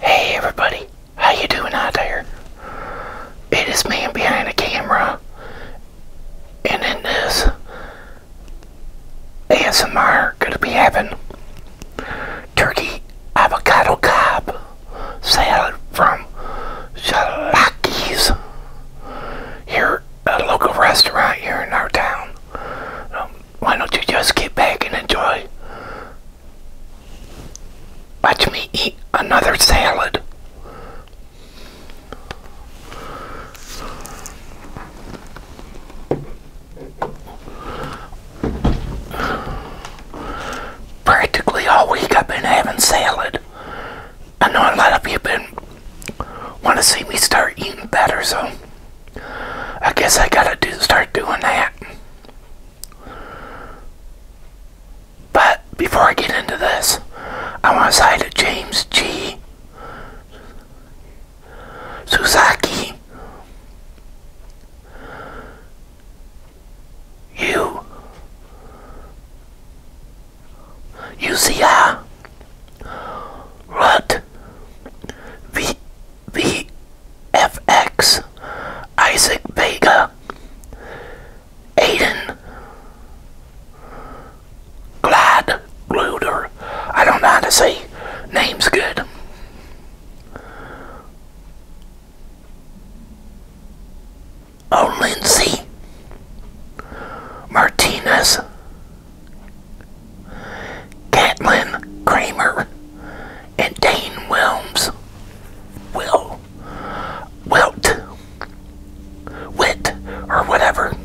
Hey everybody, how you doing out there? It is man behind the camera, and in this ASMR gonna be having turkey avocado cob salad from Shalaki's here, a local restaurant here in our town. Um, why don't you just get back and enjoy? Watch me eat another salad. Practically all week I've been having salad. I know a lot of you been want to see me start eating better, so I guess I gotta do start doing that. But before I get into this, I want to say to James G. Suzaki, you, UCI, uh, what we. VFX, Isaac Vega, Aiden Glad Gluder. I don't know how to say names good. Oh, Lindsay Martinez Catelyn Kramer and Dane Wilms. Will. Wilt. Wit. Or whatever.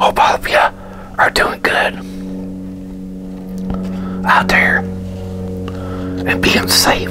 Hope all of you are doing good out there and being safe.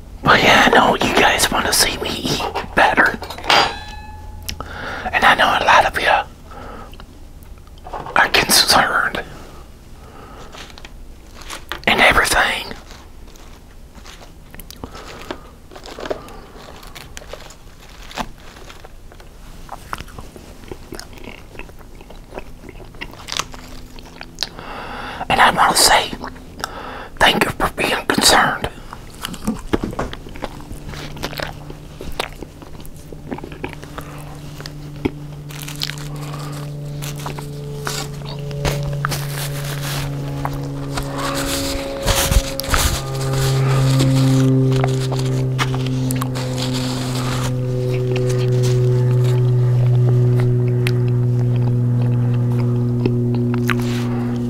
But yeah, I know you guys want to see me eat better. And I know a lot of you are concerned and everything. And I want to say, Thank you for being concerned.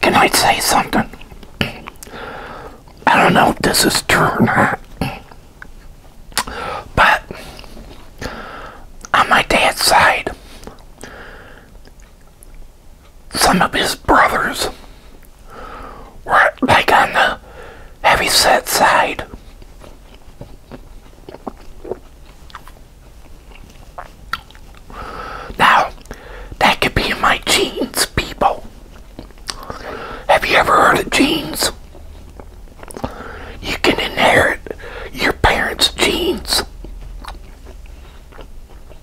Can I say something? I don't know if this is true or not. But on my dad's side, some of his brothers were like on the heavy set side. Now, that could be my genes, people. Have you ever heard of genes? You can inherit your parents' genes.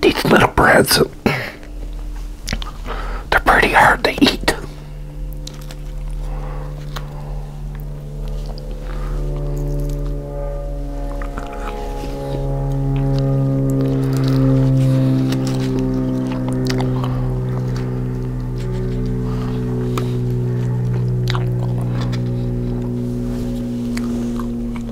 These little breads, they're pretty hard to eat.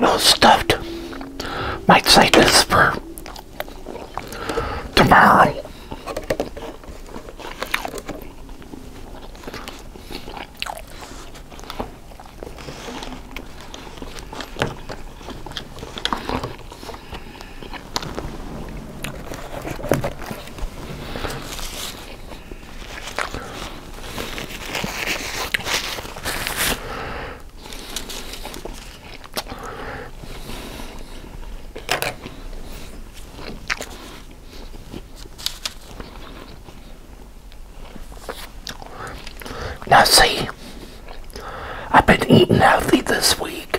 little stuffed. Might say this for tomorrow. Now see, I've been eating healthy this week.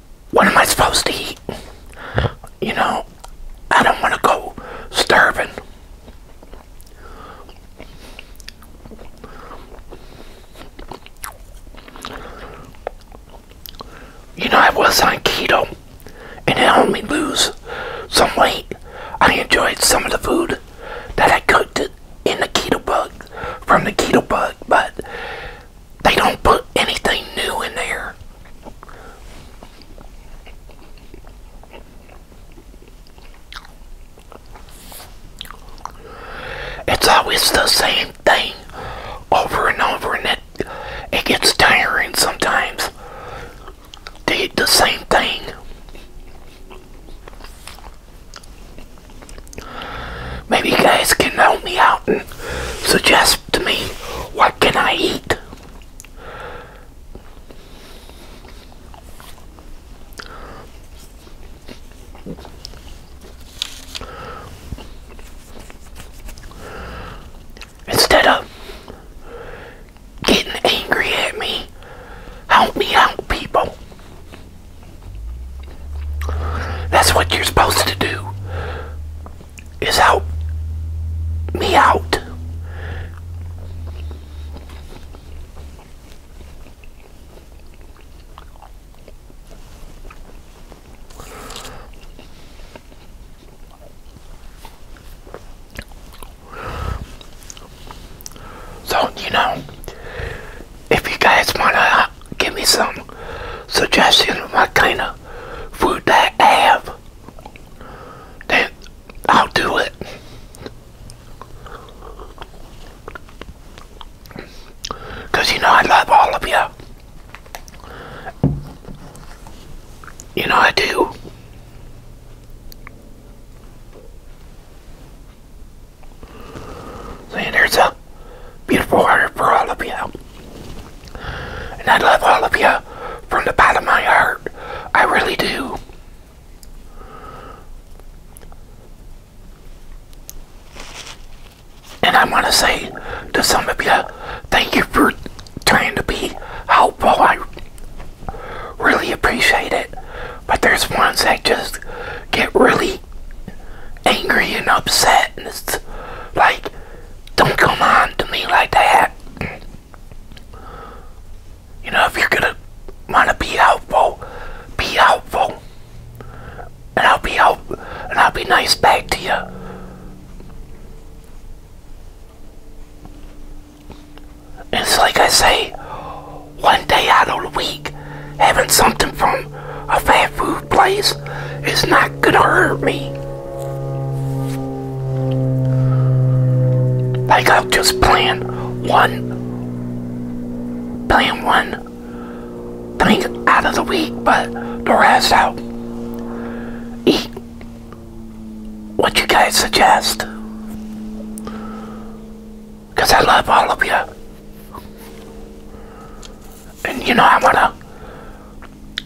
what am I supposed to eat? You know, I don't want to go starving. You know, I was on keto, and it helped me lose some weight. I enjoyed some of the food that I cooked in the keto bug, from the keto bug, but they don't put anything new in there. It's always the same thing over and over, and it, it gets tiring sometimes to eat the same thing. Maybe you guys can help me out and suggest to me, what can I eat? Instead of getting angry at me, help me out, people. That's what you're supposed to do is out. me out. So, you know, if you guys want to give me some suggestions of what kind of food that I have, up, I'll do it. Because you know I love all of you. You know I do. See, there's a beautiful heart for all of you. And I love all of you from the bottom of my heart. I really do. And I want to say to some of you, thank you for trying to be helpful. I really appreciate it. But there's ones that just get really angry and upset. And it's like, don't come on to me like that. You know, if you're gonna wanna be helpful, be helpful. And I'll be help and I'll be nice back to you. it's like I say, one day out of the week, having something from a fast food place it's not gonna hurt me. Like I'll just plan one, plan one plan out of the week, but the rest out. Eat what you guys suggest. Because I love all of you and you know I want to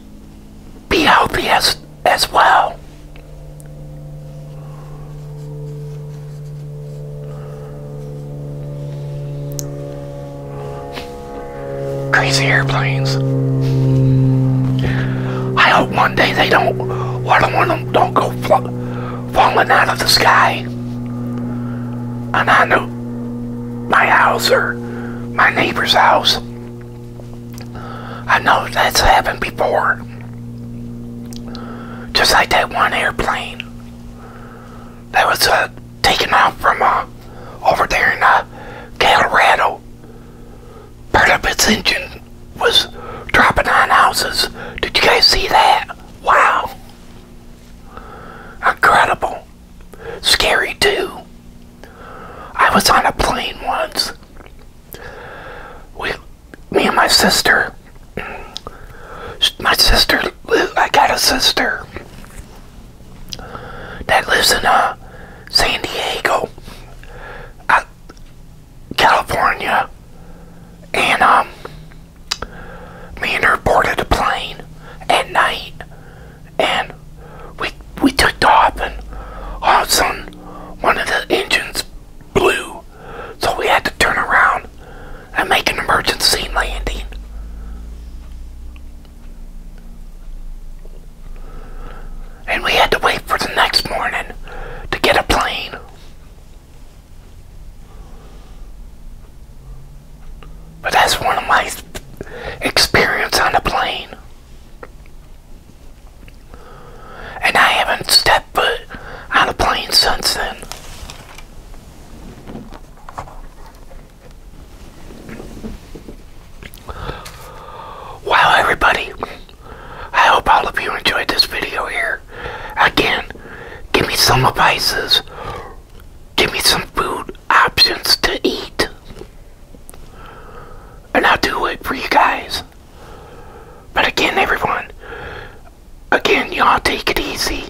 be healthy as as well. Crazy airplanes. I hope one day they don't, one of them don't go falling out of the sky and I know my house or my neighbor's house. I know that's happened before. Just like that one airplane that was uh, taken off from uh, over there in uh, Colorado. Part of its engine was dropping on houses. Did you guys see that? Wow. Incredible. Scary too. I was on a plane once. With me and my sister. My sister, I got a sister that lives in uh, San Diego, uh, California, and um, me and her boarded a plane at night and we we took off and all of a sudden one of the engines blew so we had to turn around and make an emergency landing and we had to wait for the next morning to get a plane but that's one of my experiences on the plane and I haven't stepped foot on a plane since then. Wow, everybody. I hope all of you enjoyed this video here. Again, give me some advices. Give me some food options to eat. And I'll do it for you guys. But again, everyone, again, y'all take it easy.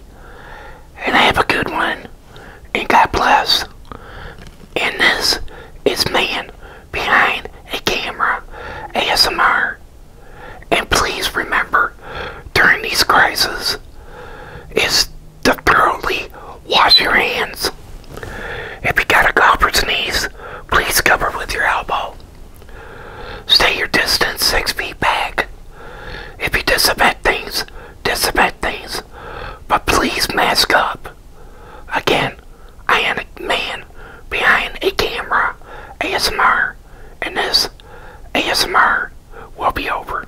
And have a good one. And God bless. And this is Man Behind a Camera ASMR. And please remember, during these crises, is to thoroughly wash your hands. If you got a cough or sneeze, please cover with your elbow. Stay your distance six feet back. If you disinfect things, disinfect things, but please mask up. Again, I am a man behind a camera, ASMR, and this ASMR will be over.